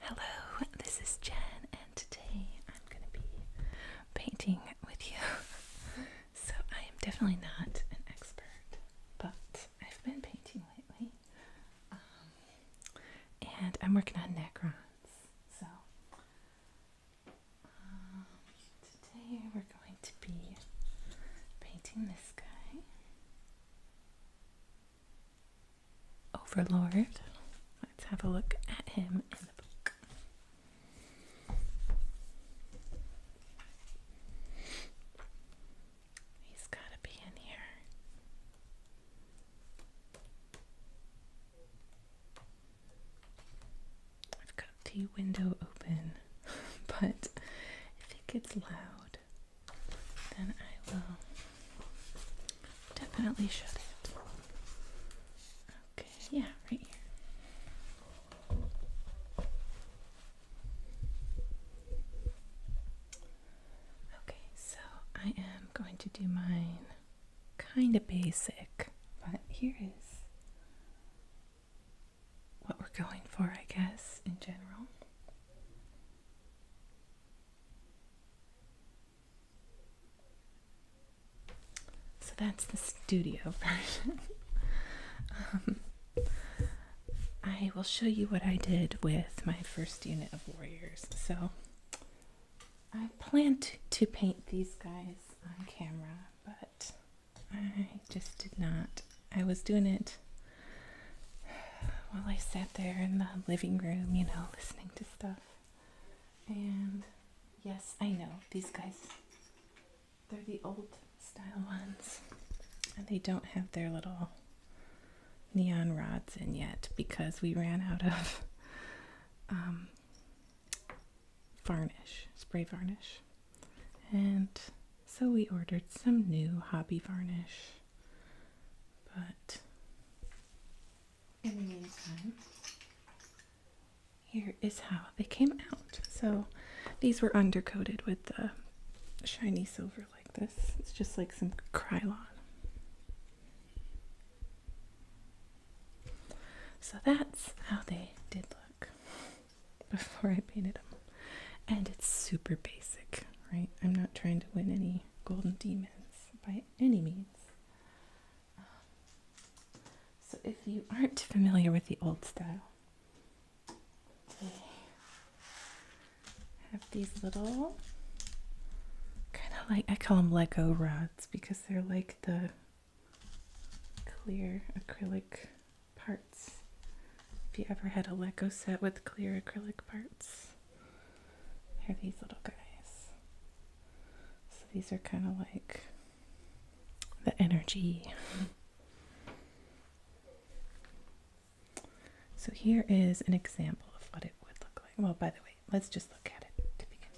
Hello, this is Jen, and today I'm going to be painting with you. so, I am definitely not an expert, but I've been painting lately, um, and I'm working on Necrons. So, um, today we're going to be painting this guy. Overlord. Let's have a look at him in the book. He's got to be in here. I've got the window open, but if it gets loud, then I will definitely shut it. Okay, yeah, right here. Okay, so I am going to do mine kind of basic, but here is what we're going for, I guess, in general. So that's the studio version. Um, I will show you what I did with my first unit of warriors. So I planned to paint these guys on camera, but I just did not. I was doing it while I sat there in the living room, you know, listening to stuff. And yes, I know these guys, they're the old style ones. And they don't have their little neon rods in yet because we ran out of um, varnish, spray varnish. And so we ordered some new hobby varnish. But in the meantime, here is how they came out. So these were undercoated with the uh, shiny silver like this. It's just like some Krylon. So that's how they did look before I painted them. And it's super basic, right? I'm not trying to win any golden demons by any means. Um, so, if you aren't familiar with the old style, they have these little kind of like I call them Lego rods because they're like the clear acrylic parts. If you ever had a Lego set with clear acrylic parts, are these little guys. So these are kind of like the energy. so here is an example of what it would look like. Well, by the way, let's just look at it to begin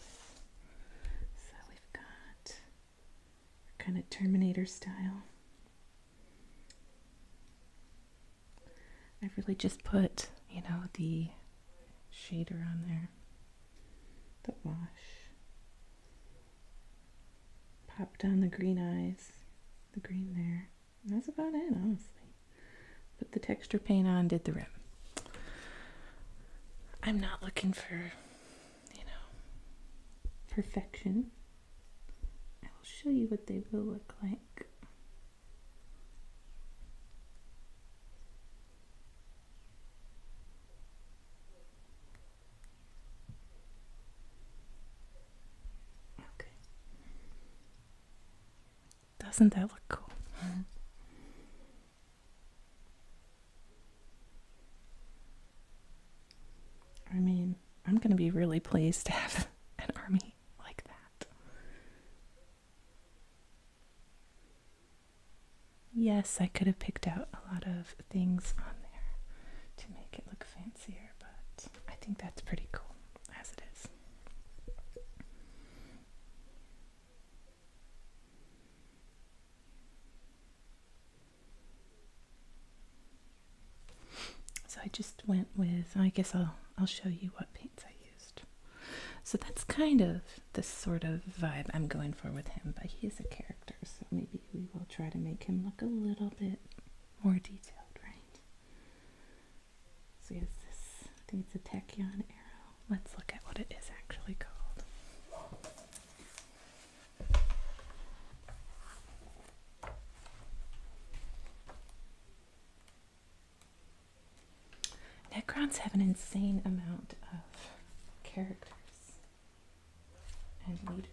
So we've got kind of Terminator style. I have really just put, you know, the shader on there, the wash, pop down the green eyes, the green there. that's about it, honestly. Put the texture paint on, did the rim. I'm not looking for, you know, perfection. I will show you what they will look like. Doesn't that look cool? I mean, I'm going to be really pleased to have an army like that. Yes, I could have picked out a lot of things on there to make it look fancier, but I think that's pretty cool as it is. So I just went with, I guess I'll, I'll show you what paints I use. So that's kind of the sort of vibe I'm going for with him, but he's a character, so maybe we will try to make him look a little bit more detailed, right? So he this, it's a tachyon arrow. Let's look at what it is actually called. Necrons have an insane amount of characters and leaders.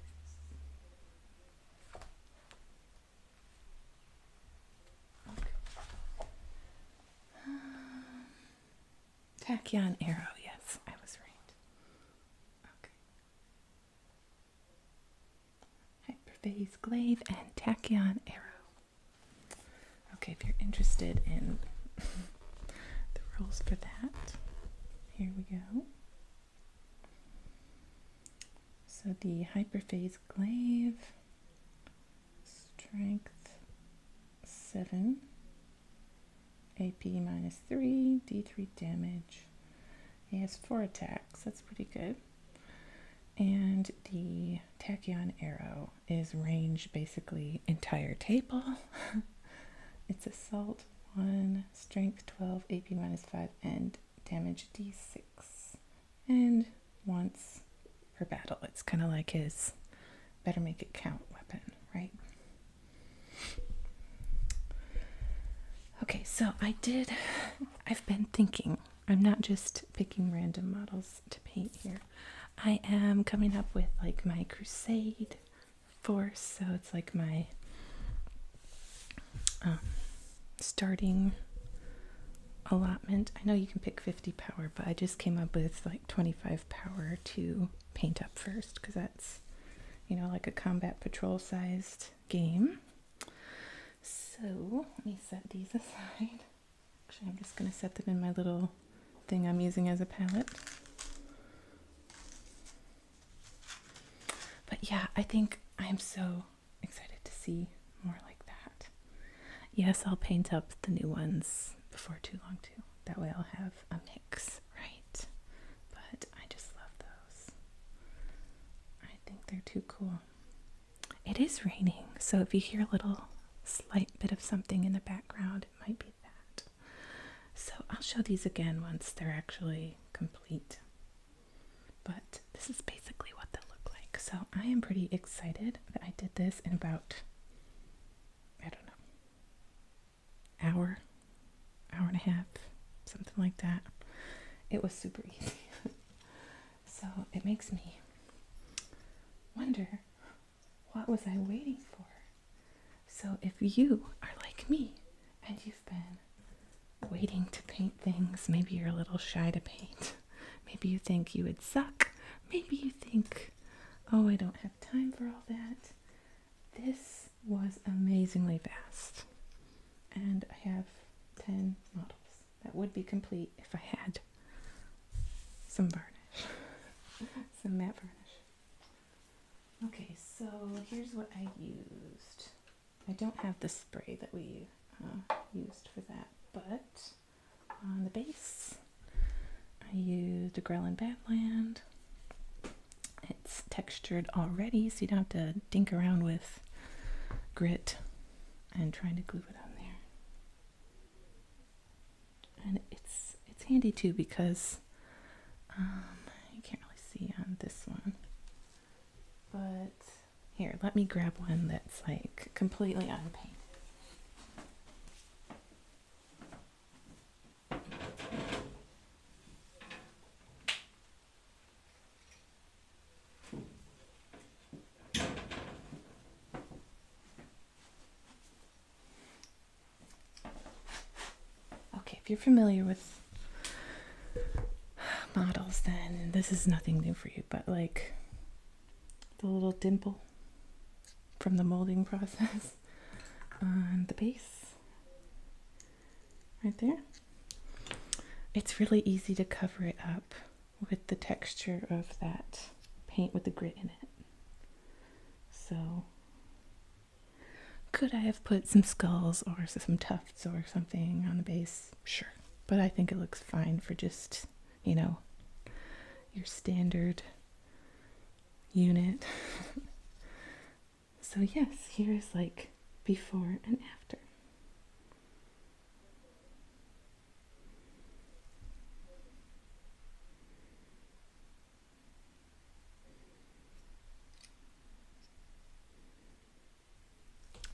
Um, Tachyon Arrow, yes, I was right. Okay hyperphase glaive, and tachyon arrow. Okay, if you're interested in the rules for that, here we go. So the hyperphase glaive, strength 7, AP minus 3, D3 damage. He has 4 attacks, that's pretty good. And the tachyon arrow is range basically entire table. it's assault 1, strength 12, AP minus 5, and damage d6. And once per battle, it's kind of like his better make it count weapon, right? Okay, so I did, I've been thinking I'm not just picking random models to paint here. I am coming up with like my crusade force, so it's like my um, starting allotment. I know you can pick 50 power, but I just came up with like 25 power to paint up first because that's, you know, like a combat patrol sized game. So let me set these aside. Actually, I'm just going to set them in my little thing I'm using as a palette. But yeah, I think I'm so excited to see more like that. Yes, I'll paint up the new ones before too long too. That way I'll have a mix, right? But I just love those. I think they're too cool. It is raining, so if you hear a little slight bit of something in the background, it might be that. So I'll show these again once they're actually complete. But this is basically what they look like. So I am pretty excited that I did this in about, I don't know, hour, hour and a half, something like that. It was super easy. So it makes me wonder what was I waiting for? So if you are like me and you've been waiting to paint things, maybe you're a little shy to paint. Maybe you think you would suck. Maybe you think, oh, I don't have time for all that. This was amazingly fast. And I have 10 models that would be complete if I had some varnish, some matte varnish. Okay, so here's what I used. I don't have the spray that we uh, used for that, but on the base, I used a Grelin Badland. It's textured already, so you don't have to dink around with grit and trying to glue it on there and it's it's handy too because um, you can't really see on this one but here let me grab one that's like completely unpainted Okay, if you're familiar with models, then this is nothing new for you, but like the little dimple from the molding process on the base right there. It's really easy to cover it up with the texture of that paint with the grit in it. So, could I have put some skulls or some tufts or something on the base? Sure. But I think it looks fine for just, you know, your standard unit. so, yes, here's like before and after.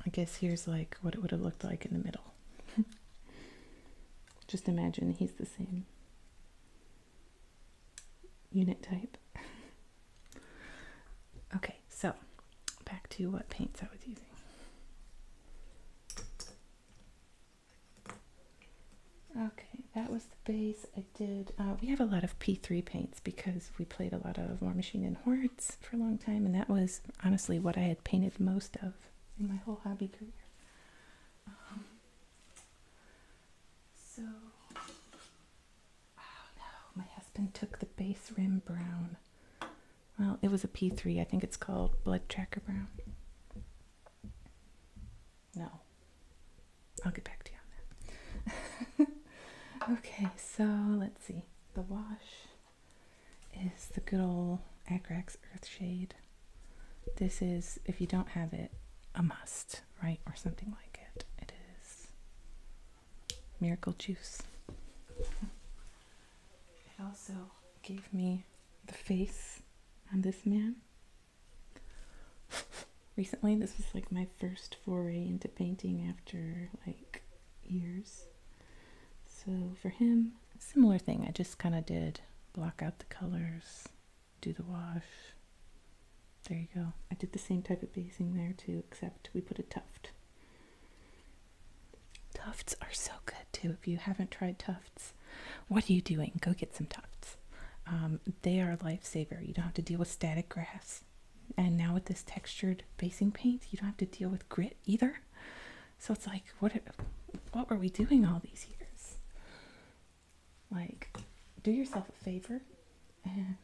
I guess here's like what it would have looked like in the middle. Just imagine he's the same unit type. okay, so back to what paints I was using. Okay, that was the base I did. Uh, we have a lot of P3 paints because we played a lot of War Machine and Hordes for a long time, and that was honestly what I had painted most of in my whole hobby career. Um, so, oh no, my husband took the base rim brown. Well, it was a P3. I think it's called Blood Tracker Brown. No. I'll get back to you on that. okay, so let's see. The wash is the good old Agrax Shade. This is, if you don't have it, a must, right? Or something like it. It is Miracle Juice. It also gave me the face on this man. Recently, this was like my first foray into painting after like years. So for him, similar thing. I just kind of did block out the colors, do the wash. There you go. I did the same type of basing there too, except we put a tuft. Tufts are so good too. If you haven't tried Tufts, what are you doing? Go get some Tufts. Um, they are a lifesaver. You don't have to deal with static grass. And now with this textured facing paint, you don't have to deal with grit either. So it's like, what, what were we doing all these years? Like, do yourself a favor and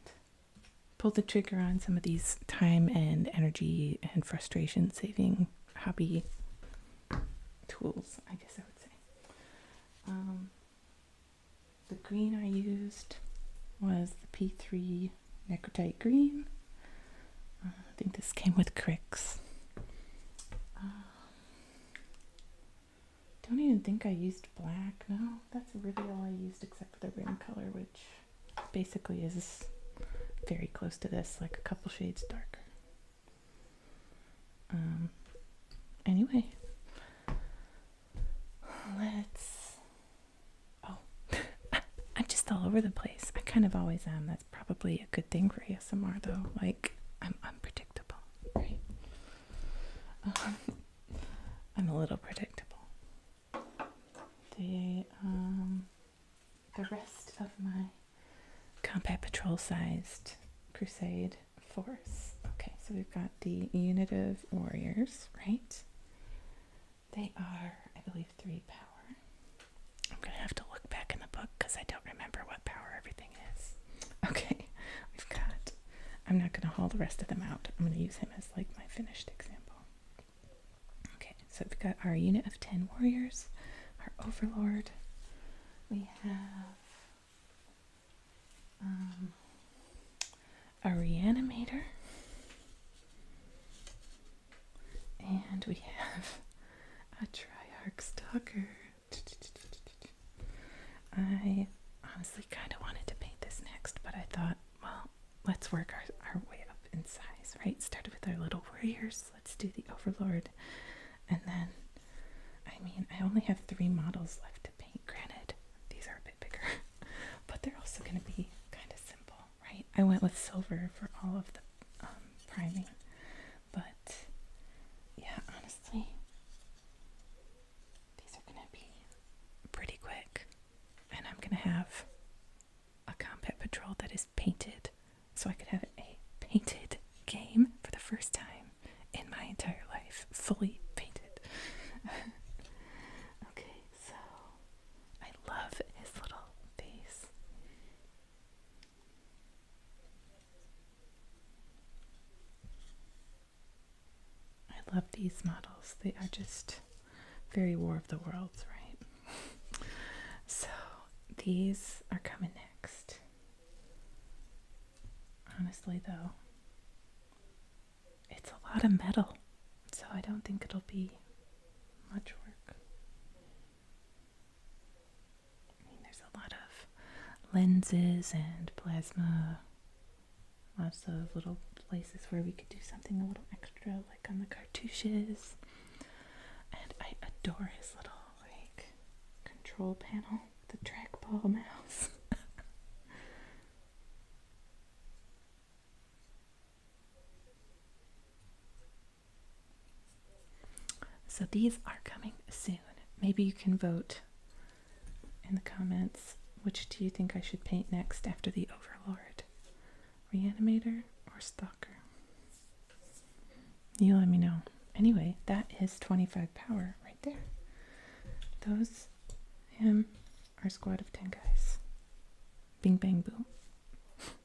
pull the trigger on some of these time and energy and frustration saving hobby tools, I guess I would say. Um, the green I used was the P3 Necrotite Green. Uh, I think this came with Cricks. Um, don't even think I used black. No, that's really all I used except for the rim color, which basically is very close to this, like a couple shades darker. Um, anyway, let's. Oh, I'm just all over the place. I kind of always am. That's probably a good thing for ASMR, though. Like, I'm unpredictable, um, I'm a little predictable. The um, the rest of my combat patrol sized crusade force. Okay, so we've got the unit of warriors, right? They are, I believe, three power. I'm going to have to look back in the book because I don't remember what power everything is. Okay, we've got, I'm not going to haul the rest of them out. I'm going to use him as like my finished example. Okay, so we've got our unit of 10 warriors, our overlord. We have um, a reanimator. And we have a Triarch Stalker. I honestly kind of wanted to paint this next, but I thought, well, let's work our, our way up in size, right? Started with our little warriors let Let's do the Overlord. And then, I mean, I only have three models left to paint. Granted, these are a bit bigger, but they're also going to be kind of simple, right? I went with silver for all of the um, priming. But, yeah, honestly, these are going to be pretty quick. And I'm going to have a combat patrol that is painted. So I could have a painted game for the first time in my entire life. Fully painted. okay, so I love his little face. I love these models. They are just very War of the Worlds, right? so these are coming next. Honestly, though, it's a lot of metal, so I don't think it'll be much work. I mean, there's a lot of lenses and plasma, lots of little places where we could do something a little extra, like on the cartouches. And I adore his little like control panel with a trackball mouse. so these are coming soon. Maybe you can vote in the comments which do you think I should paint next after the Overlord? Reanimator or Stalker? You let me know. Anyway, that is 25 power right there. Those, him, our squad of 10 guys. Bing, bang, boom.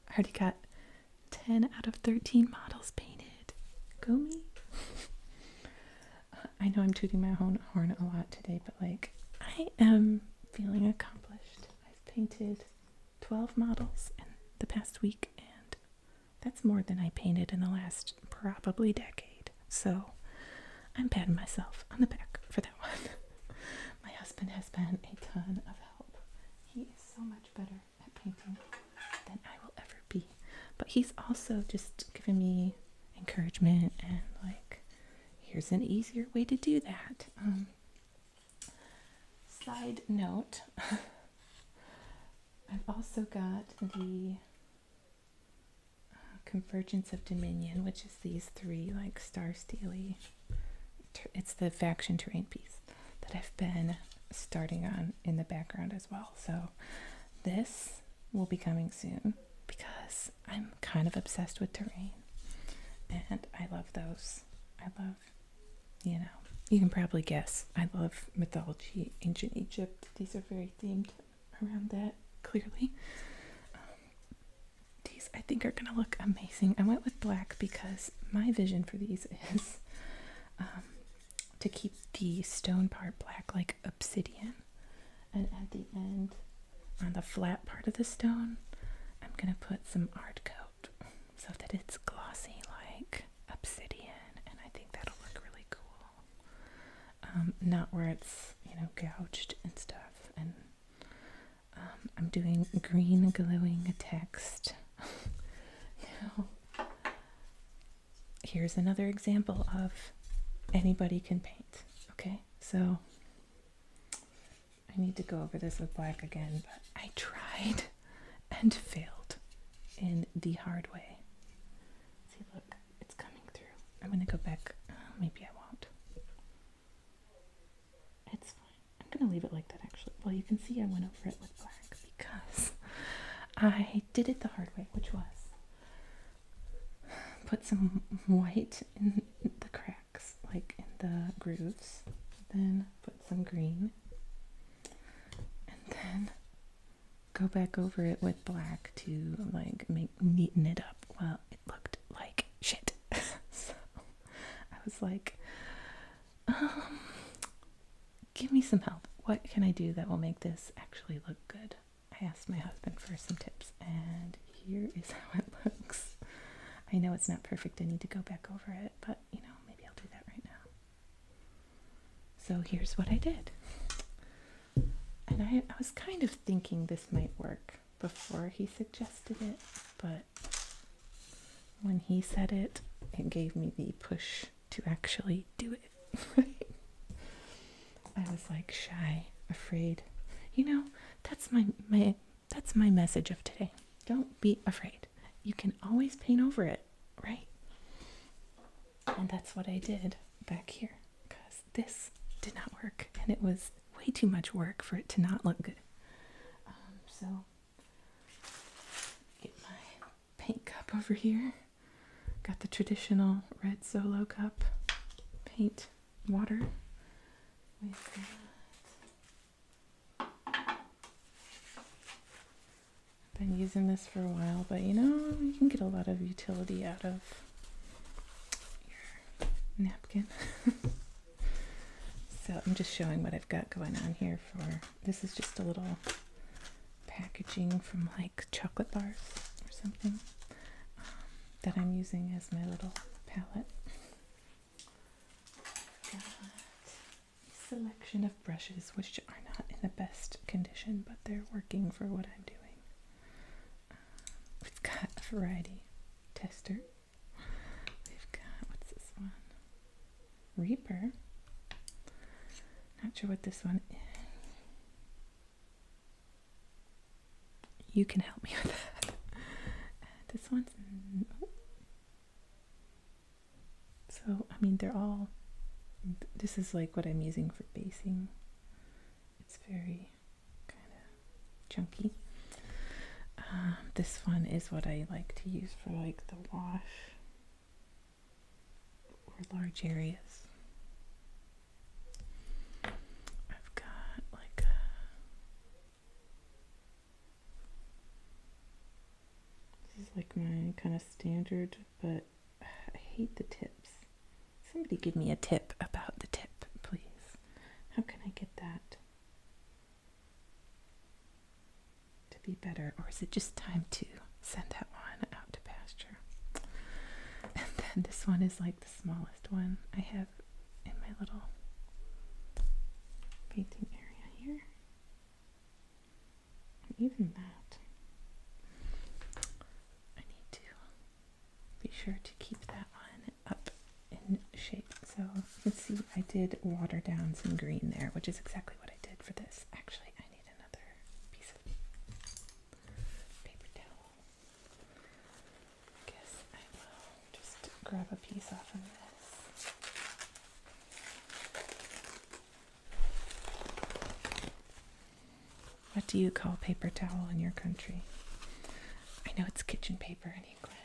I already got 10 out of 13 models painted. Go me. I know I'm tooting my own horn a lot today, but like, I am feeling accomplished. I've painted 12 models in the past week and that's more than I painted in the last probably decade. So I'm patting myself on the back for that one. My husband has been a ton of help. He is so much better at painting than I will ever be. But he's also just giving me encouragement and like, here's an easier way to do that. Um, side note I've also got the uh, Convergence of Dominion, which is these three like star steely. It's the faction terrain piece that I've been starting on in the background as well. So this will be coming soon because I'm kind of obsessed with terrain and I love those. I love you know, you can probably guess. I love mythology, ancient Egypt. These are very themed around that, clearly. Um, these I think are going to look amazing. I went with black because my vision for these is um, to keep the stone part black like obsidian. And at the end, on the flat part of the stone, I'm going to put some art Ardco so that it's glossy like obsidian, and I think that'll look really cool. Um, not where it's, you know, gouged and stuff. And um, I'm doing green glowing text. now, here's another example of anybody can paint. Okay, so I need to go over this with black again, but I tried. and failed in the hard way. See, look, it's coming through. I'm going to go back. Uh, maybe I won't. It's fine. I'm going to leave it like that, actually. Well, you can see I went over it with black because I did it the hard way, which was put some white in the cracks, like in the grooves, then put some green, and then go back over it with black to like make neaten it up. Well, it looked like shit. so I was like, um, give me some help. What can I do that will make this actually look good? I asked my husband for some tips, and here is how it looks. I know it's not perfect. I need to go back over it, but you know, maybe I'll do that right now. So here's what I did. And I, was kind of thinking this might work before he suggested it, but when he said it, it gave me the push to actually do it. I was like shy, afraid. You know, that's my my that's my message of today. Don't be afraid. You can always paint over it, right? And that's what I did back here because this did not work and it was way too much work for it to not look good. Um, so, get my paint cup over here. Got the traditional red solo cup paint water I've been using this for a while, but you know, you can get a lot of utility out of your napkin. so I'm just showing what I've got going on here for, this is just a little packaging from like chocolate bars or something um, that I'm using as my little palette selection of brushes which are not in the best condition, but they're working for what I'm doing. Um, we've got a variety tester. We've got, what's this one? Reaper. Not sure what this one is. You can help me with that. Uh, this one's, so, I mean, they're all, this is like what I'm using for basing. It's very kind of chunky. Um, this one is what I like to use for like the wash or large areas. I've got like this is like my kind of standard, but I hate the tips. Somebody give me a tip about the tip, please. How can I get that to be better? Or is it just time to send that one out to pasture? And then this one is like the smallest one I have in my little painting area here. Even that. I need to be sure to keep that one up in shape. So let's see I did water down some green there, which is exactly what I did for this. Actually, I need another piece of paper towel. guess I will just grab a piece off of this. What do you call paper towel in your country? I know it's kitchen paper in England.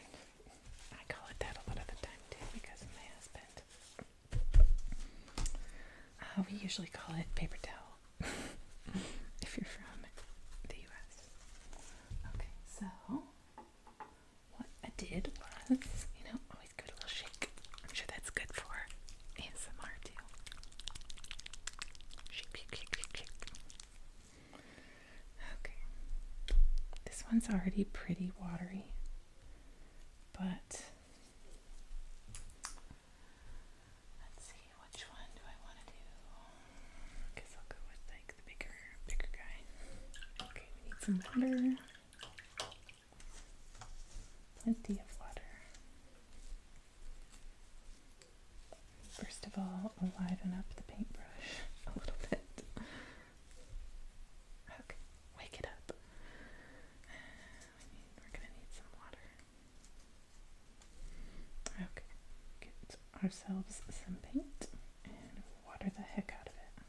I call it that a lot of the time too because of my husband. Uh, we usually call it paper towel if you're from the US. Okay, so what I did was, you know, always little shake. I'm sure that's good for ASMR too. Okay. This one's already pretty watery, but let's see which one do I want to do. guess I'll go with like the bigger, bigger guy. Okay, we need some water. Plenty of water. First of all, liven up the paintbrush a little bit. Okay, wake it up. we're gonna need some water. Okay, get ourselves some paint and water the heck out of it.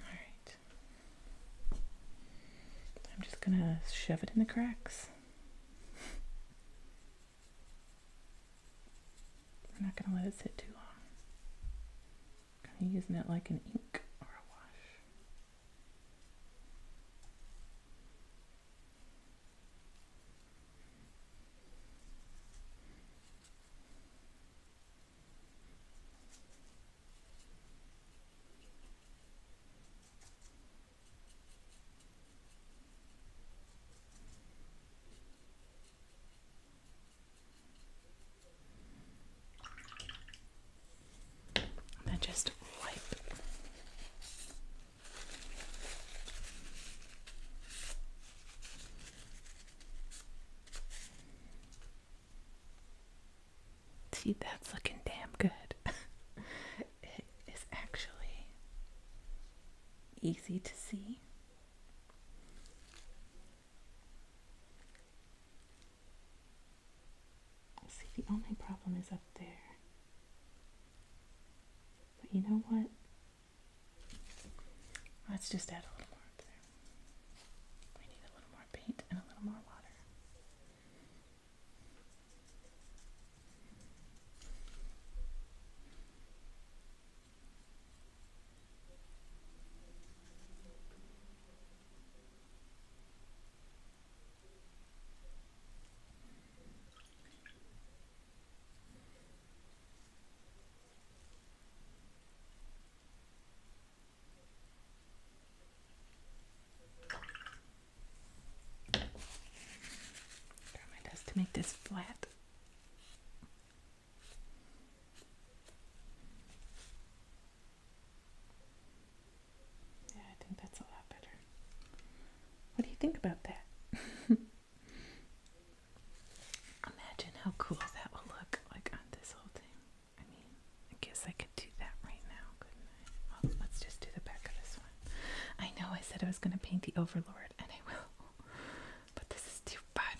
Alright. I'm just gonna shove it in the cracks. I'm not gonna let it sit too long. I'm kinda using it like an ink or a wash. And then just wipe. See, that's looking damn good. it is actually easy to see. See, the only problem is up there. But you know what? Let's just add a little more up there. We need a little more paint and a little more water. Try my best to make this flat. Yeah, I think that's a lot better. What do you think about that? Imagine how cool that will look like on this whole thing. I mean, I guess I could do that right now, couldn't I? Well, let's just do the back of this one. I know I said I was going to paint the Overlord, and I will. But this is too fun.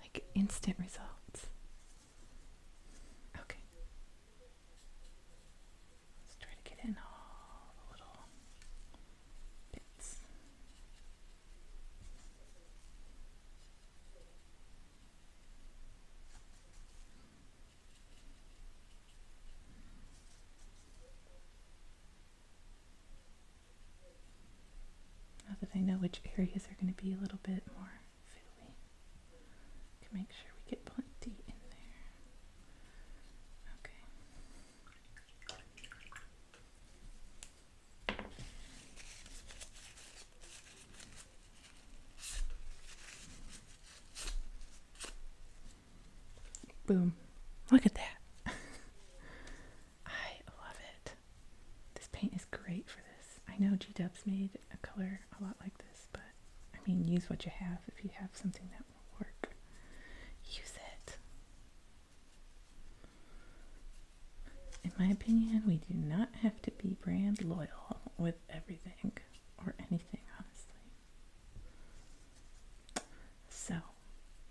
Like, instant results. Okay. Let's try to get in all the little bits. Now that I know which areas are going to be a little bit more fiddly, I can make sure we get plenty in there. Okay. Boom. Look at that. I love it. This paint is great for this. I know G-Dub's made a color a lot like this, but I mean, use what you have if you have something that will work. Use it. In my opinion, we do not have to be brand loyal with everything or anything, honestly. So,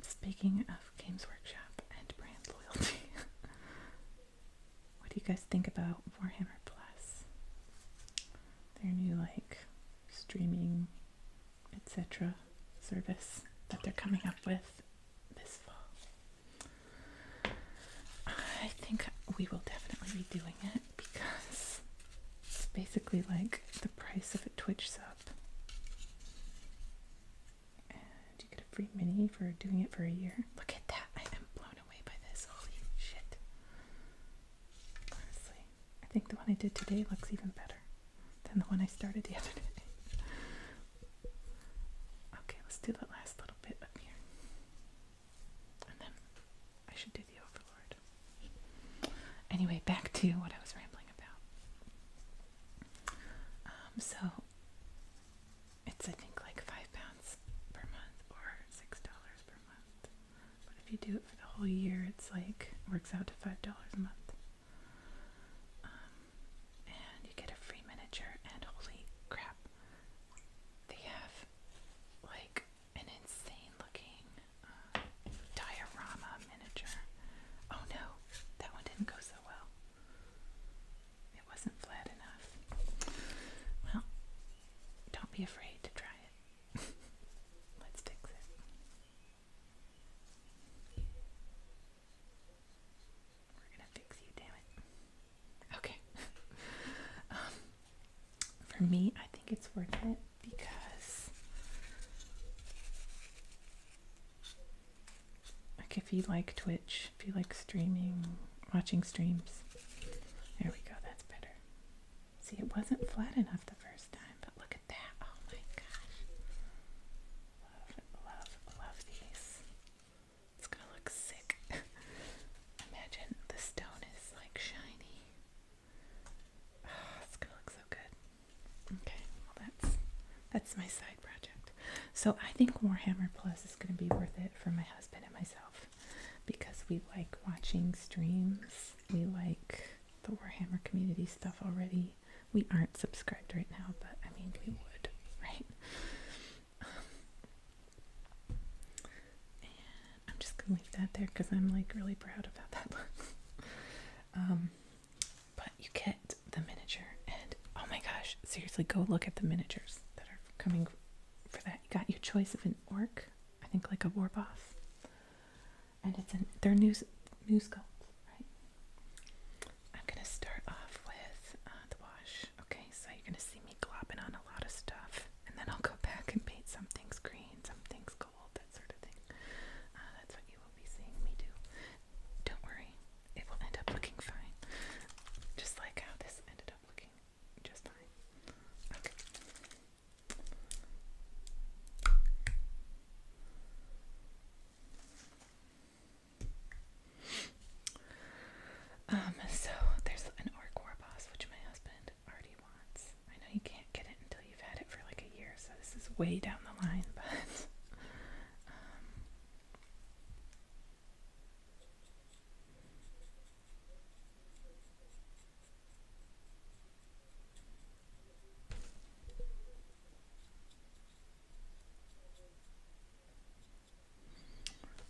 speaking of Games Workshop and brand loyalty, what do you guys think about Warhammer Plus? Their new, like, streaming, etc. service that they're coming up with this fall. I think we will definitely be doing it because it's basically like the price of a Twitch sub. And you get a free mini for doing it for a year. Look at that. I am blown away by this. Holy shit. Honestly, I think the one I did today looks even better than the one I started the other day. Okay, let's do that last little bit up here. And then I should do the Overlord. Anyway, back to what I was rambling about. Um, so it's I think like five pounds per month or six dollars per month. But if you do it for the whole year, it's like works out to five dollars a month. Um, and you get a free miniature. And holy crap, they have like an insane looking uh, diorama miniature. Oh no, that one didn't go so well. It wasn't flat enough. Well, don't be afraid to try it. Let's fix it. We're gonna fix you, damn it. Okay. Um, for me, I think it's worth it because, like, if you like Twitch, if you like streaming, watching streams, there we go, that's better. See, it wasn't flat enough the first time, but look at that. Oh my gosh. Love, love, love these. It's gonna look sick. Imagine the stone is like shiny. Ah, it's gonna look so good. Okay, well that's that's my side project. So I think Warhammer Plus is gonna be worth it for my husband and myself because we like watching streams. We like the Warhammer community stuff already. We aren't subscribed right now, but I mean we would, right? I'm just gonna leave that there because I'm like really proud about that book. Um, but you get the miniature, and oh my gosh, seriously, go look at the miniatures that are coming for that. You got your choice of an orc, I think like a war boss, and it's an their are new new sculpts, right? I'm gonna start off with uh, the wash. Okay, so you're gonna see me me on a lot of stuff, and then I'll go back and paint some things green, some things gold, that sort of thing. Uh, that's what you will be seeing me do. Don't worry, it will end up looking fine, just like how this ended up looking just fine. Okay. Um, so there's an orc war boss, which my husband already I know you can't get it until you've had it for like a year, so this is way down the line, but um,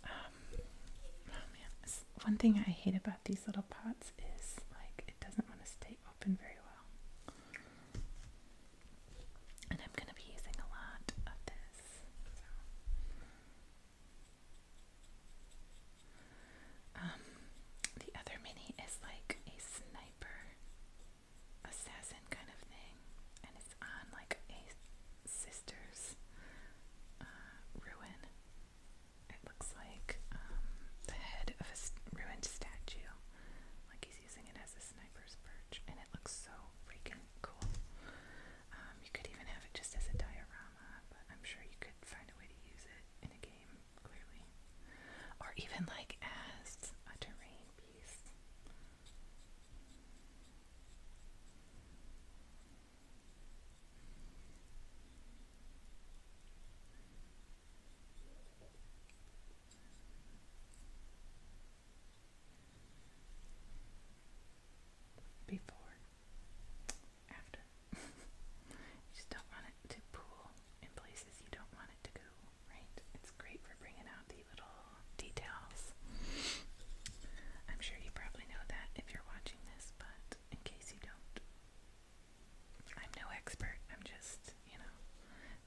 oh, one thing I hate about these little pots is like it doesn't want to stay open very well. And I'm going to be using a lot of this. Um, the other mini is like a sniper assassin kind of thing, and it's on like a sister's uh, ruin it looks like um, the head of a ruined statue. Like he's using it as a sniper's perch, and it looks so freaking cool. Um, you could even have it just as a diorama, but I'm sure you could find a way to use it in a game, clearly. Or even like as a terrain piece. Before, after. you just don't want it to pool in places you don't want it to go, right? It's great for bringing out the little details. I'm sure you probably know that if you're watching this, but in case you don't. I'm no expert. I'm just, you know,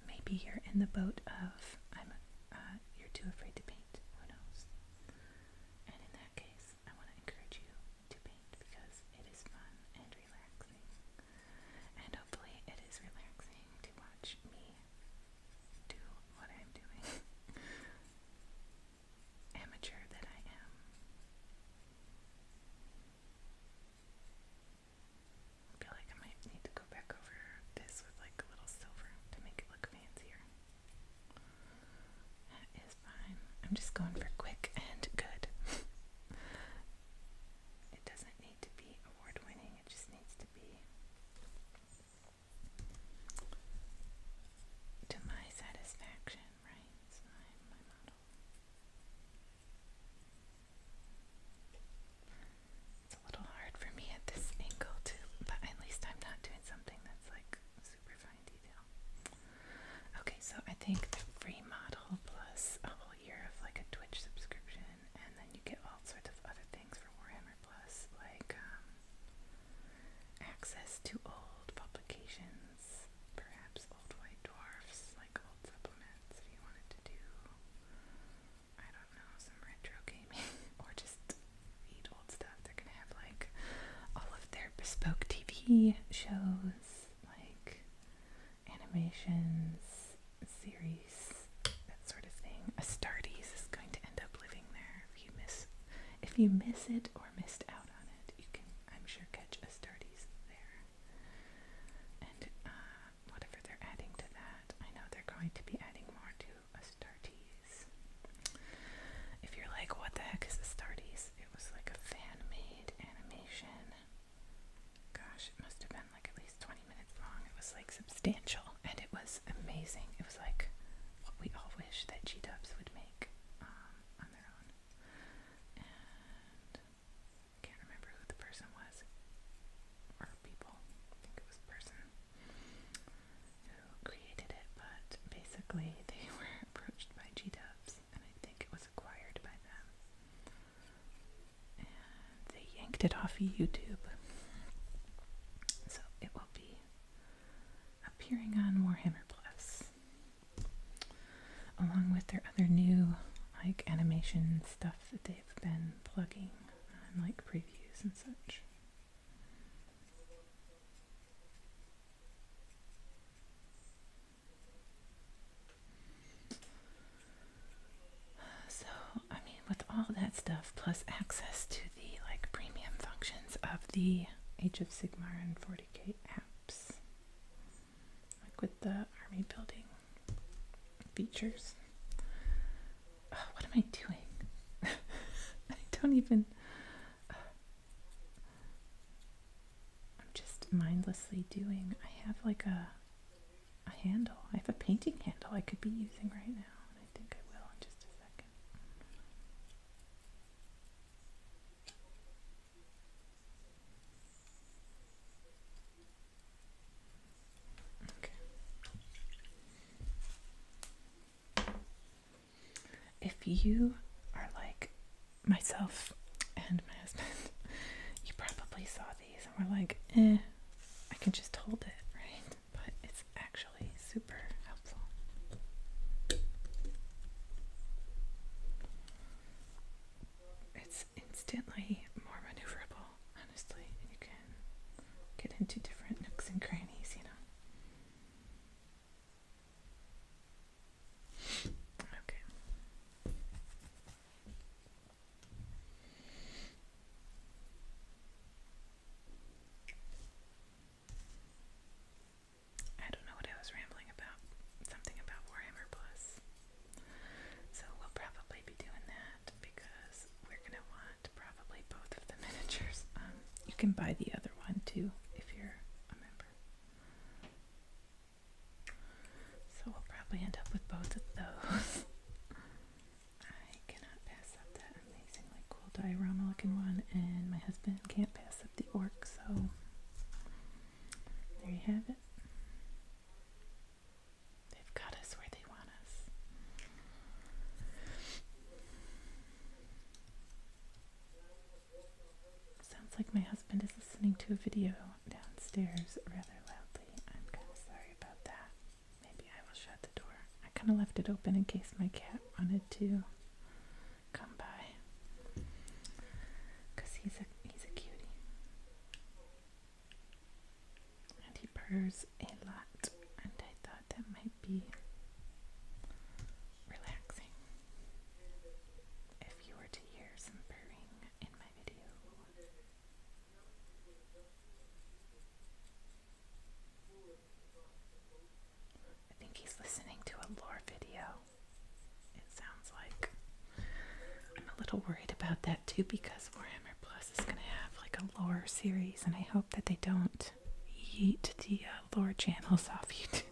maybe you're in the boat of I'm uh, you're too afraid to paint. Who knows? And in that case, I want to encourage you to paint because it is fun and relaxing. And hopefully, it is relaxing to watch me do what I'm doing. amateur that I am. feel like I might need to go back over this with like a little silver to make it look fancier. That is fine. I'm just going for quick and good. it doesn't need to be award winning, it just needs to be to my satisfaction bottom right side of my model. It's a little hard for me at this angle too, but at least I'm not doing something that's like super fine detail. Okay, so I think the free model plus a whole year of like a Twitch subscription, and then you get all sorts of other things for Warhammer Plus, like um, access to old publications perhaps old white dwarfs, like old supplements if you wanted to do, I don't know, some retro gaming, or just read old stuff. They're gonna have like all of their bespoke TV shows, like animations, series, that sort of thing. Astardis is going to end up living there if you miss if you miss it or missed out on it, you can I'm sure catch astartes there. And uh, whatever they're adding to that, I know they're going to be adding more to astartes. If you're like, what the heck is astartes? It was like a fan-made animation. Gosh, it must have been like at least 20 minutes long. It was like substantial and it was amazing. It was like what we all wish that G-dubs would make um, on their own and can't remember who the person was, or people, I think it was person who created it, but basically they were approached by G-Dubs, and I think it was acquired by them, and they yanked it off YouTube, so it will be appearing on Warhammer Plus along with their other new like animation stuff that they've been plugging on like previews and such. So, I mean, with all that stuff plus access to the like premium functions of the H of Sigmar and 40K apps like with the army building features. what am I doing? I don't even. I'm just mindlessly doing. I have like a a handle. I have a painting handle I could be using right now, I think I will in just a second. If you are like myself and my husband, you probably saw these and were like, eh, I can just hold it, right? But it's actually super helpful. It's instantly more maneuverable, honestly, you can get into different nooks and crannies, you know. Okay. I don't know what I was rambling about. Something about Warhammer Plus. So we'll probably be doing that because we're gonna want probably both of the miniatures. Um, you can buy the other one too if you're a member. So we'll probably end up with both of those. I cannot pass up that amazingly cool diorama looking one, and my husband can't pass up the orc, so there you have it. They've got us where they want us. Sounds like my husband is listening to a video downstairs rather loudly. I'm kind of sorry about that. Maybe I will shut the door. I kind of left it open in case my cat wanted to come by, cause he's a he's a cutie, and he purrs a lot. And I thought that might be relaxing if you were to hear some purring in my video. I think he's listening to a lore video it sounds like. I'm a little worried about that too because Warhammer Plus is going to have like a lore series, and I hope that they don't eat the uh, lore channels off YouTube.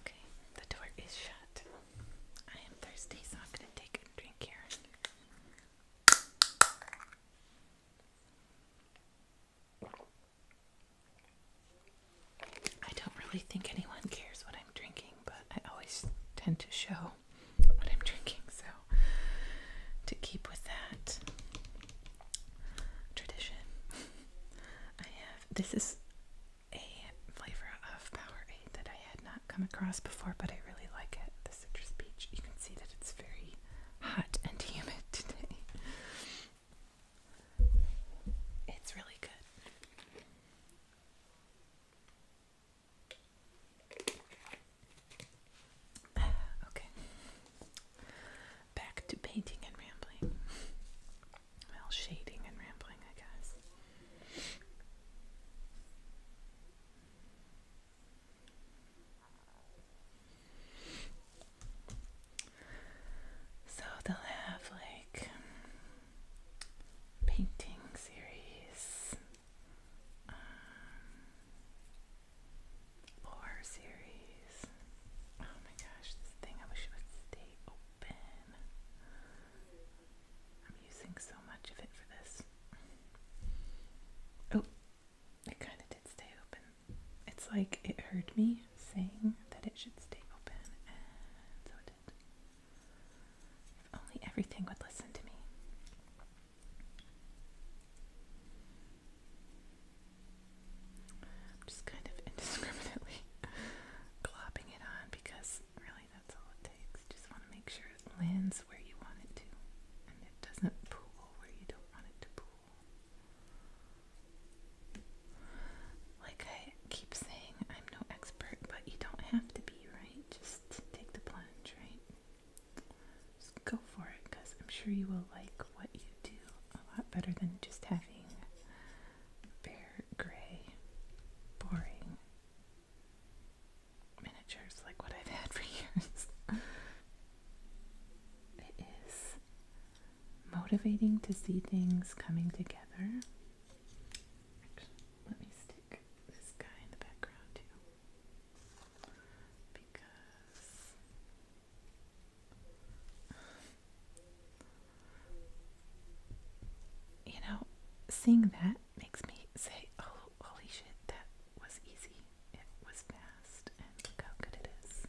Okay, the door is shut. I am thirsty, so I'm gonna take a drink here. I don't really think anyone cares what I'm drinking, but I always tend to show what I'm drinking, so to keep with that, tradition. I have this is a flavor of Powerade that I had not come across before, but I really like it. The citrus peach. You can see that it's very hot and humid today. It's really good. Okay. Back to painting and rambling. Well, shading and rambling, I guess. So they'll have like painting series. Um, lore series. Oh my gosh, this thing, I wish it would stay open. I'm using so much of it for this. Oh, it kind of did stay open. It's like it heard me saying that it should stay open, so it did. If only everything would listen to me. I'm just kind of indiscriminately glopping it on because really that's all it takes. Just want to make sure it lands where you want it to and it doesn't pool where you don't want it to pool. Like I keep saying, I'm no expert, but you don't have to be, right? Just take the plunge, right? Just go for it because I'm sure you will like what you do a lot better than just having bare, gray, boring miniatures like what I've had for years. it is motivating to see things coming together. Actually, let me stick this guy in the background too. Because you know, seeing that makes me say, oh, holy shit, that was easy. It was fast, and look how good it is.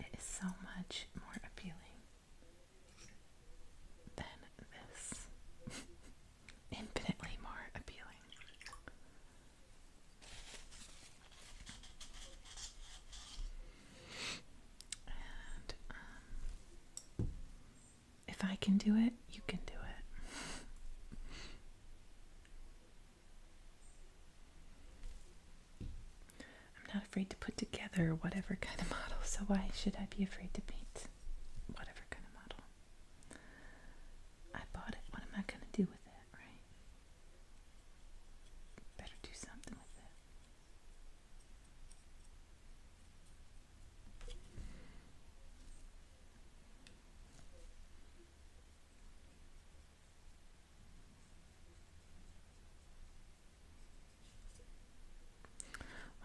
It is so much more appealing than this. Infinitely more appealing. Um, if I can do it, you can do it. I'm not afraid to put together whatever kind of model, so why should I be afraid to paint whatever kind of model? I bought it. What am I going to do with it, right? Better do something with it.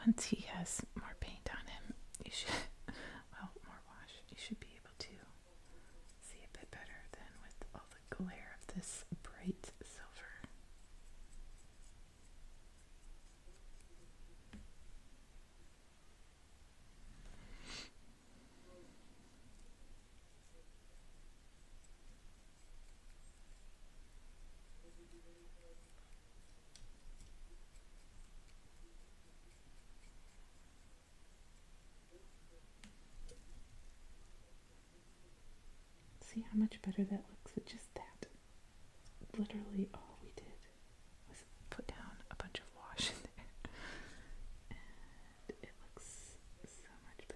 Once he has more paint on him, you should, well, more wash, you should be able to see a bit better than with all the glare of this bright silver. See how much better that looks with just that. Literally all we did was put down a bunch of wash in there. And it looks so much better.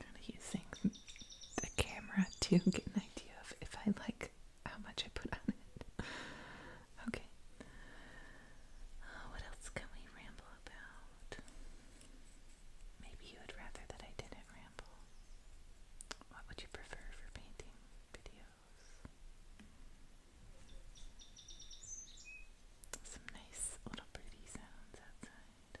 kind of using the camera to get an idea of if I like how much I put on it. okay. Uh, what else can we ramble about? Maybe you would rather that I didn't ramble. What would you prefer for painting videos? Some nice little pretty sounds outside.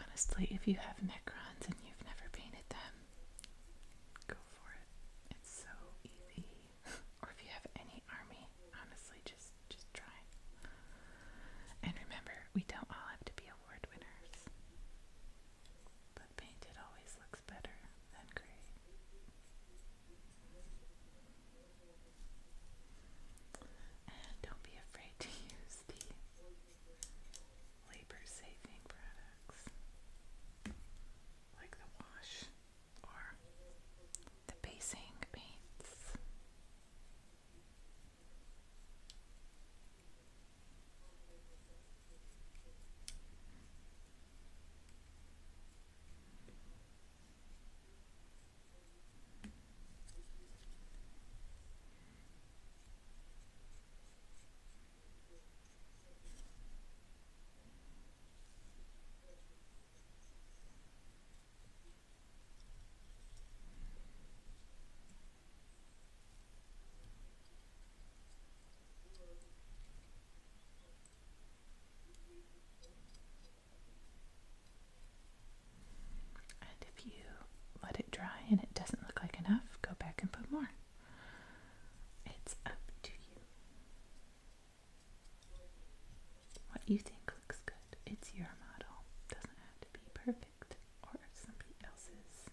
Honestly, if you have Necrons and you've never painted them, go for it. It's so easy. or if you have any army, honestly, just just try. And remember, we don't all have to be award winners. But painted always looks better than gray. And don't be afraid to use the labor saving products like the wash or the basing paints. And if you let it dry and it doesn't look like enough, go back and put more. It's up to you. What you think looks good, it's your model. Doesn't have to be perfect or somebody else's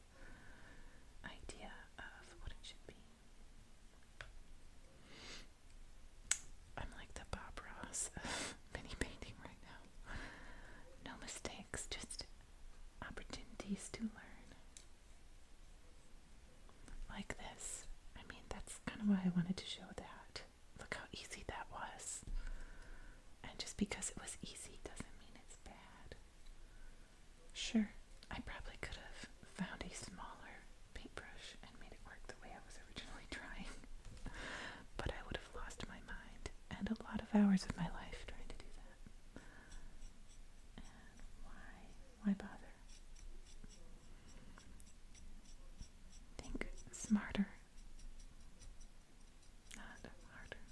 idea of what it should be. I'm like the Bob Ross mini painting right now. No mistakes, just opportunities to learn. Like this. I mean, that's kind of why I wanted to show that. Look how easy that was. And just because it was easy doesn't mean it's bad. Sure, I probably could have found a smaller paintbrush and made it work the way I was originally trying, but I would have lost my mind and a lot of hours of my life trying to do that why why bother? Think smarter. Not harder.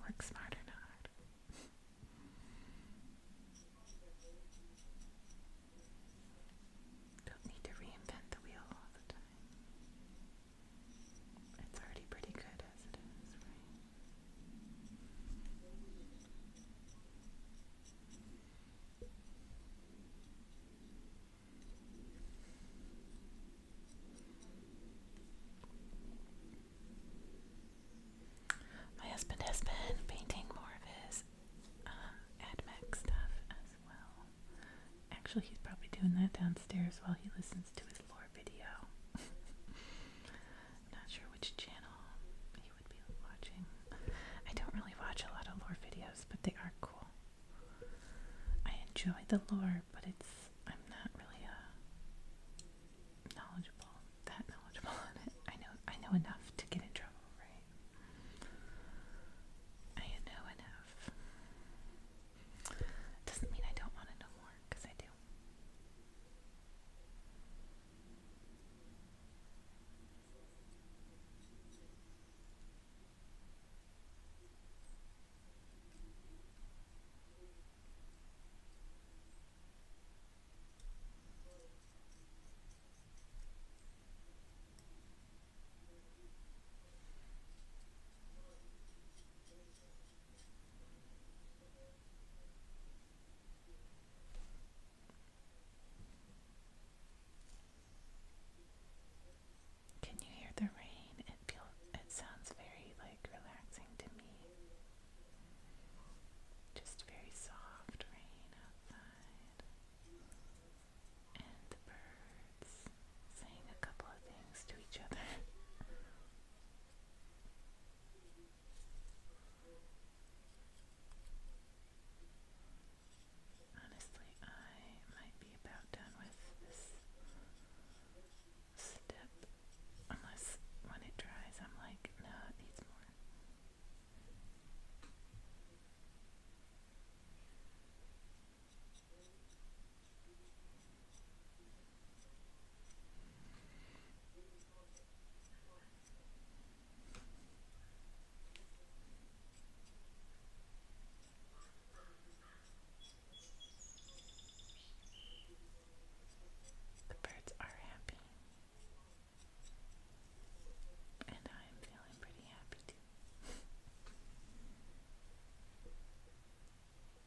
Work smarter, not harder. Don't need to reinvent the wheel all the time. It's already pretty good as it is, My husband has been painting more of his um, uh, AdMac stuff as well. Actually, he's probably doing that downstairs while he listens to his Lord video. i not sure which channel he would be watching. I don't really watch a lot of lore videos, but they are cool. I enjoy the lore, but it's I'm not really uh, knowledgeable, that knowledgeable on it. I know I know enough to get in trouble, right? I know enough. Doesn't mean I don't want to know more more because I do. Can you hear the rain? It feels it sounds very like relaxing to me. Just very soft rain outside. And the birds saying a couple of things to each other. Honestly, I might be about done with this step. Unless when it dries, I'm like, no, it needs more. The birds are happy. And I'm feeling pretty happy too.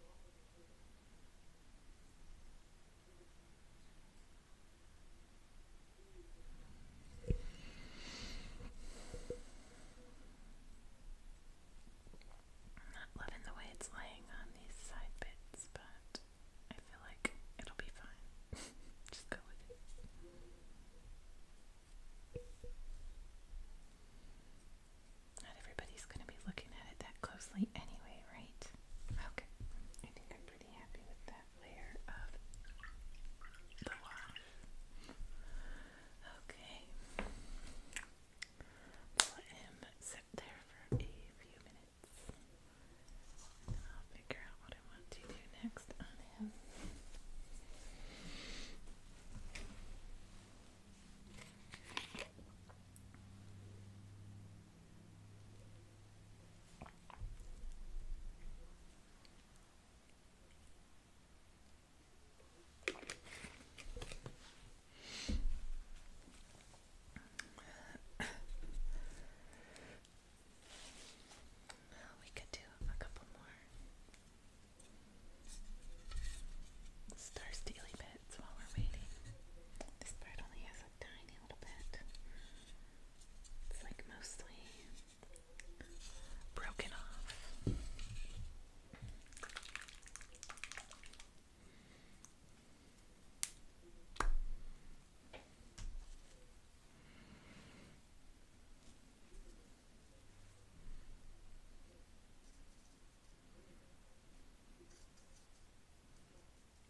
Not loving the way it's laying on these side bits, but I feel like it'll be fine. Just go with it. Not everybody's going to be looking at it that closely anyway, right? Okay. I think I'm pretty happy with that layer of the wash. Okay. We'll let him sit there for a few minutes. I'll figure out what I want to do next on him. We could do a couple more. Star Steely bits while we're waiting. This part only has a tiny little bit. It's like mostly broken off.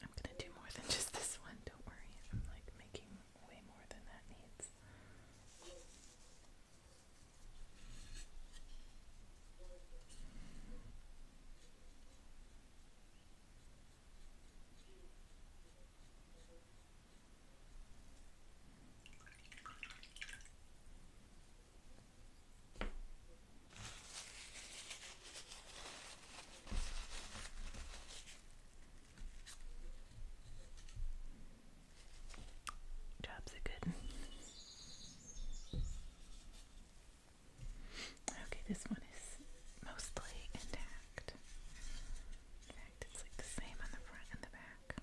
I'm gonna do more than just this one, don't worry. I'm like making way more than that needs. Jobs are good. Okay, this one is mostly intact. In fact, it's like the same on the front and the back.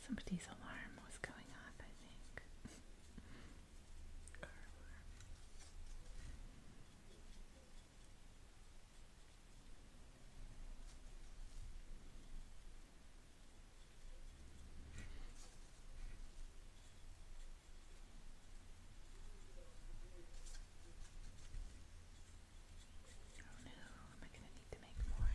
Somebody's alarm was going off, I think. Oh no, am I going to need to make more?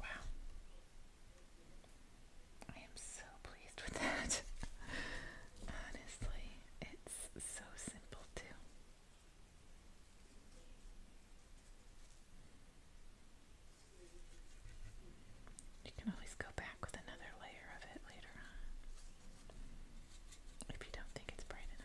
Wow. I am so pleased with that. Honestly, it's so simple too. You can always go back with another layer of it later on if you don't think it's bright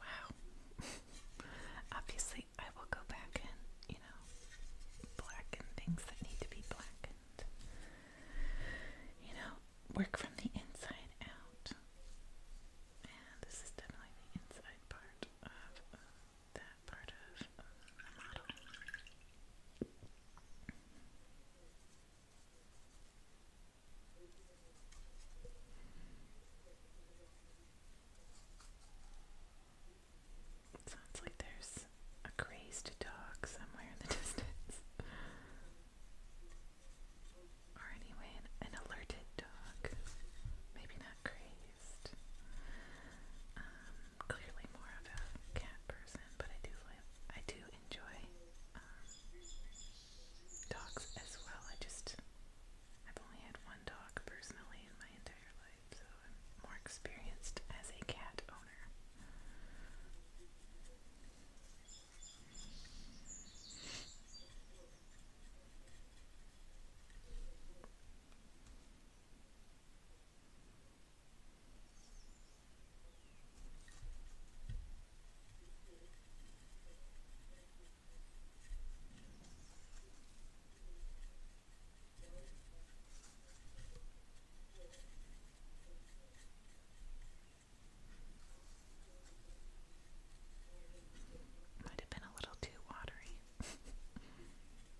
Wow. Obviously, I will go back and, you know, blacken things that need to be blackened. You know, work from the inside out. And this is definitely the inside part of um, uh, sounds like there's a crazed dog somewhere in the distance. or anyway, an, alerted dog. Maybe not crazed least. Um, clearly more of a cat person, but I do like I do enjoy um, dogs as well. I just I've only had one dog personally in my entire life, so I'm more experienced as a cat owner. Might have been a little too watery.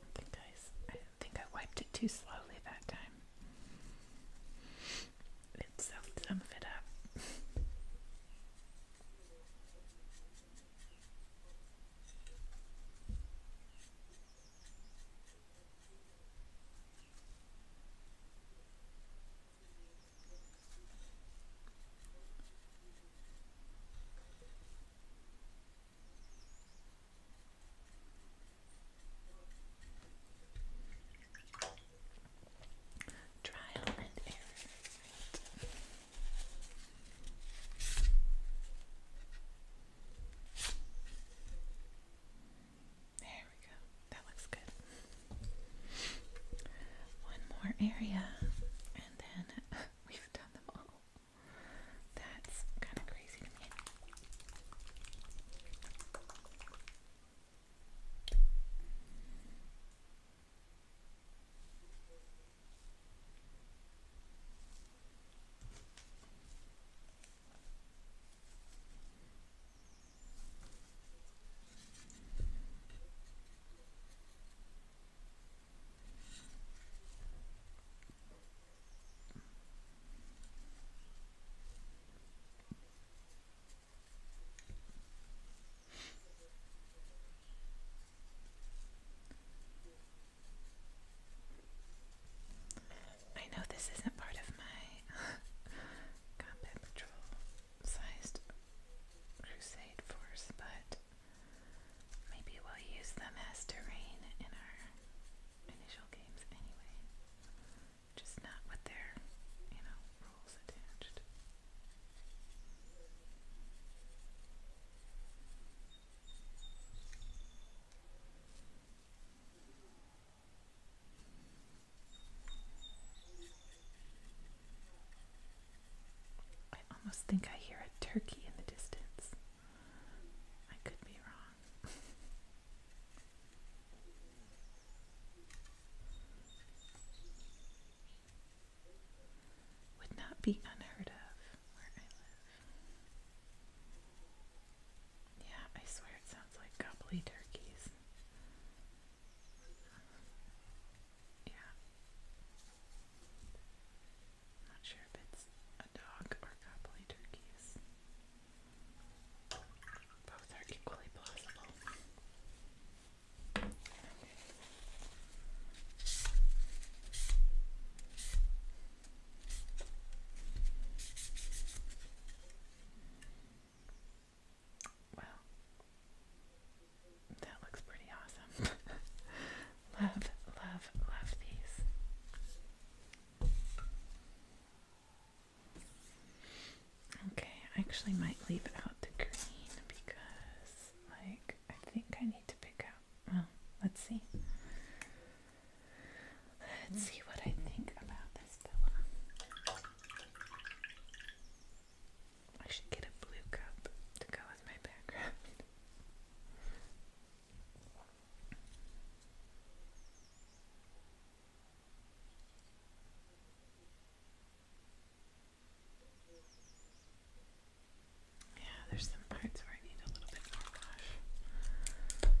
I think I, think I wiped it too slowly that time. It soaked some it up. Trial and error. Right. There we go. That looks good. One more area. I and then we've done them all. That's kind of crazy I know this isn't part of my combat patrol sized crusade force, but Maybe we'll use them as terrain in our initial games anyway. Just not with their, you know, rules attached. I almost think I hear a turkey in the distance. I could be wrong. Would not be unheard of where I live. Yeah, I swear it sounds like gobbly turkeys. Yeah. I'm not sure if it's a dog or copulate turkeys. Both are equally plausible. Okay. That looks pretty awesome. love, love, love these. Okay, I actually might leave out the green because, like, I think I need to pick out. Well, let's see. Let's see what I think about this pillow. I should get a blue cup to go with my background. Yeah, there's some parts where I need a little bit more wash.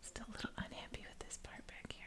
Still a little unhappy with this part back here.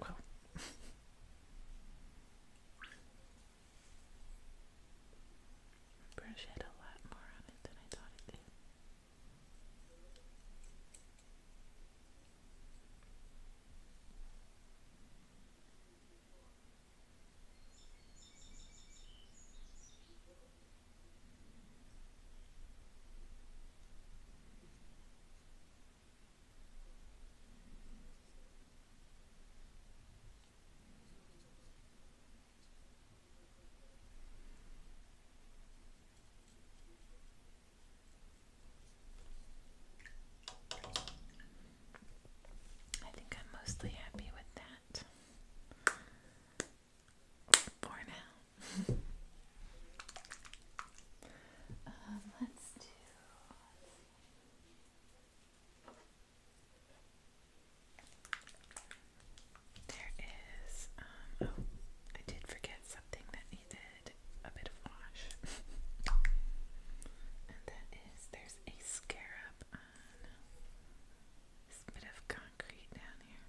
Well. Brush had a lot more on it than I thought it did. I think I'm mostly happy with that for now let's do. There is. Um, oh, I did forget something that needed a bit of wash, and that is there's a scarab on this bit of concrete down here.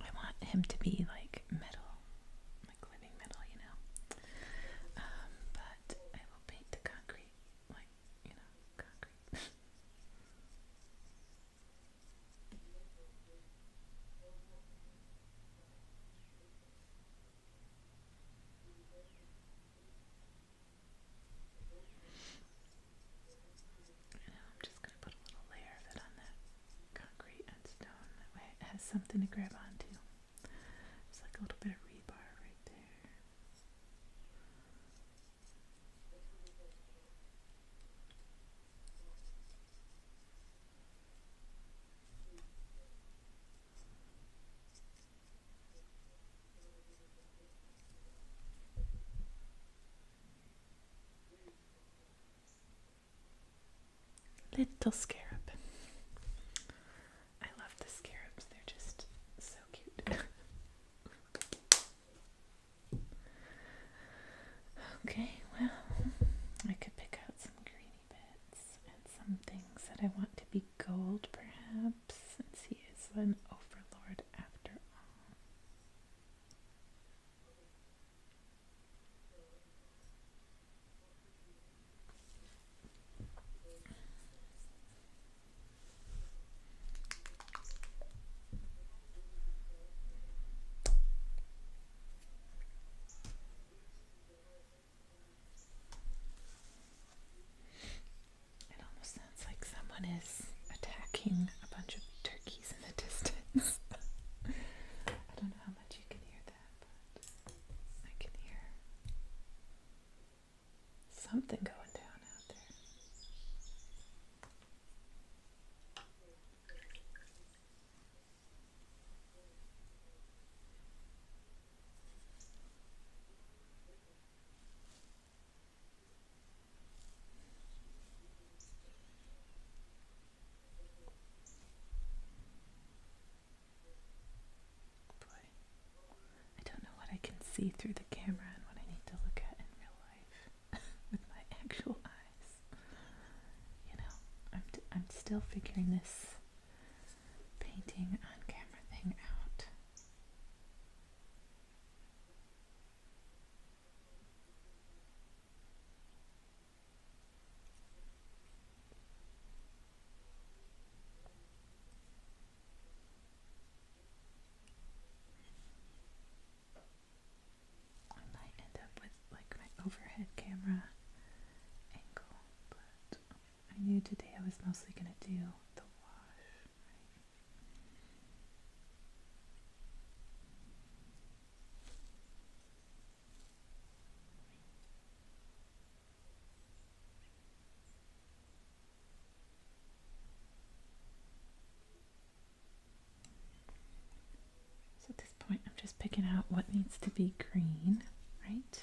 I want him to be like metal, like living metal, you know. Um, but I will paint the concrete, like, you know, concrete. I'm just going to put a little layer of it on that concrete and stone. That way it has something to grab onto. It's like a little bit of rebar right there. Little scarab. I love the scarabs, they're just so cute. okay, well, I could pick out some greeny bits. And some things that I want to be gold, perhaps, since he is an overlord after all. It almost sounds like someone is attacking a bunch of turkeys in the distance. I don't know how much you can hear that, but I can hear something going down out there. Boy, I don't know what I can see through the camera and what I need to look at in real life with my actual eyes. You know, I'm, d I'm still figuring this painting on camera thing out. I might end up with like my overhead camera angle, but. I knew today I was mostly going to do the wash. So at this point, I'm just picking out what needs to be green, right?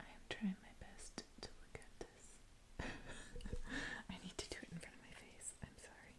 I am trying my best to look at this. I need to do it in front of my face. I'm sorry.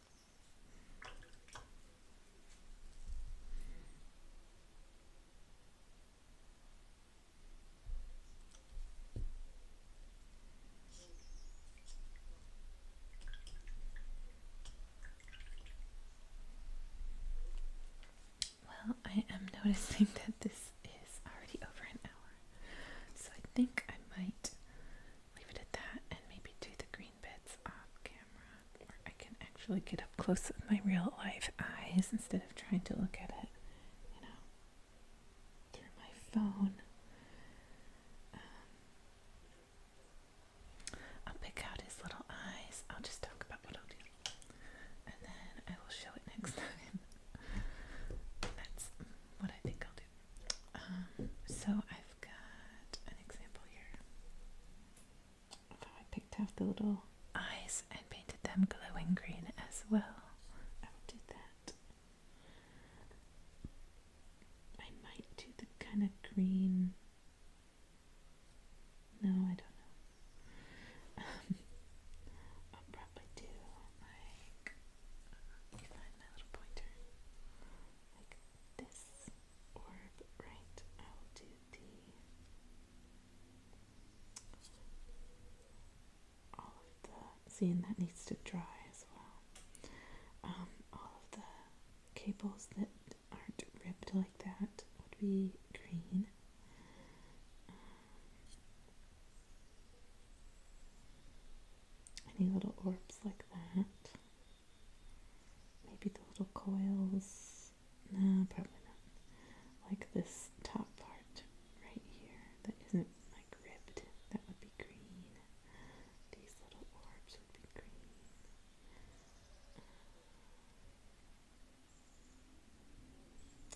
Well, I am noticing that this is already over an hour, so I think I might leave it at that and maybe do the green bits off camera. I can actually get up close with my real life eyes instead of trying to look at it, you know, through my phone. Um, I'll pick out his little eyes. I'll just talk about what I'll do. And then I will show it next time. That's what I think I'll do. Um, so I've i got an example here I picked out the little eyes and painted them glowing green as well. I will do that. I might do the kind of green. No, I don't know. I'll probably do Like this orb right. I will do the all of the see, that needs to dry as well. Um, all of the cables that aren't ripped like that would be green. Um, any little orbs like that Maybe the little coils. No, probably not. Like this top part right here that isn't like ribbed. That would be green. These little orbs would be green.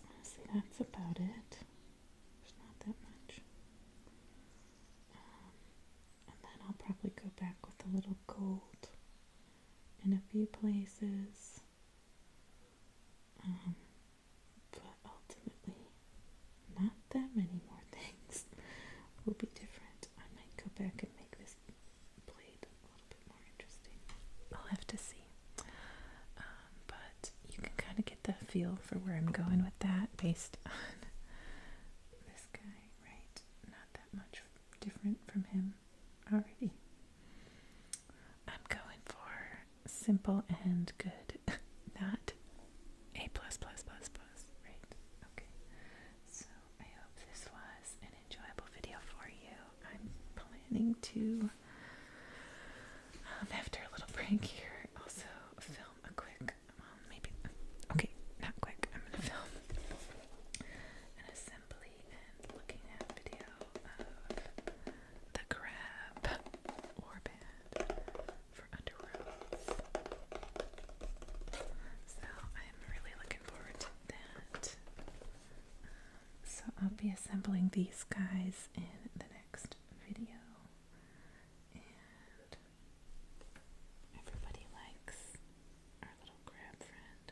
Honestly, that's about it. There's not that much. Um, and then I'll probably go back with a little gold in a few places. Um, but ultimately, not that many more things will be different. I might go back and make this blade a little bit more interesting. I'll have to see. Um, but you can kind of get the feel for where I'm going with that based on this guy, right? Not that much different from him already. I'm going for simple and good, not A plus plus plus plus, right? Okay. So I hope this was an enjoyable video for you. I'm planning to um, after a little prank here also film a quick maybe, okay, not quick, I'm gonna film an assembly and looking at video of the crab warband for Underworld. So I'm really looking forward to that. so I'll be assembling these guys in the next video. Everybody likes our little crab friend.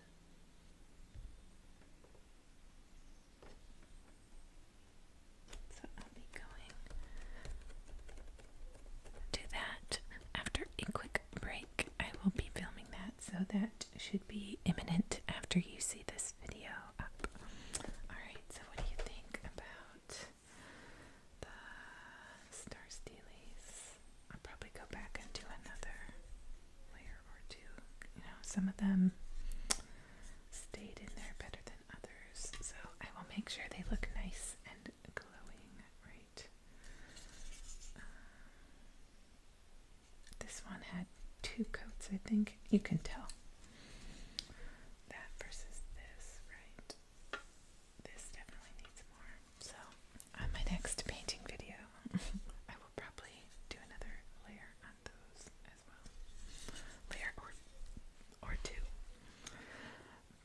So I'll be going to that after a quick break. I will be filming that, so that should be imminent after you see this video up. Alright, so what do you think about the star steelies. I'll probably go back and do another layer or two. You know, some of them stayed in there better than others, so I will make sure they look nice and glowing, right? this one had two coats, I think. You can tell. That versus this, right? This definitely needs more. So, on my next painting video, I will probably do another layer on those as well. Layer or or two.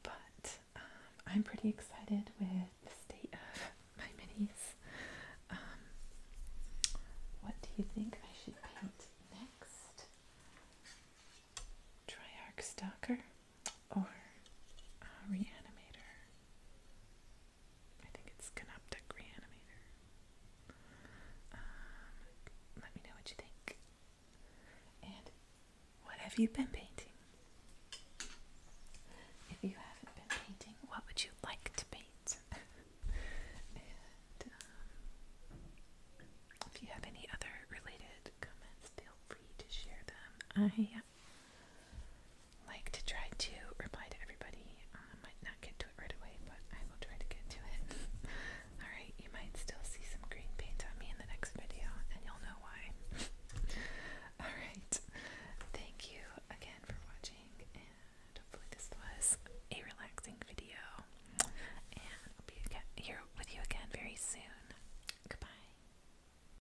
But um, I'm pretty excited with the state of my minis. Um, what do you think I should paint next? Triarch Stalker or uh, Reanimator. I think it's Canoptic Reanimator. Um, let me know what you think. And what have you been painting? If you haven't been painting, what would you like to paint? and um, if you have any other related comments, feel free to share them. I like to try to reply to everybody. Um, I um, might not get to it right away, but I will try to get to it. Alright, you might still see some green paint on me in the next video, and you'll know why. Alright, thank you again for watching, hopefully, this was a relaxing video. And I'll be here with you again very soon. Goodbye.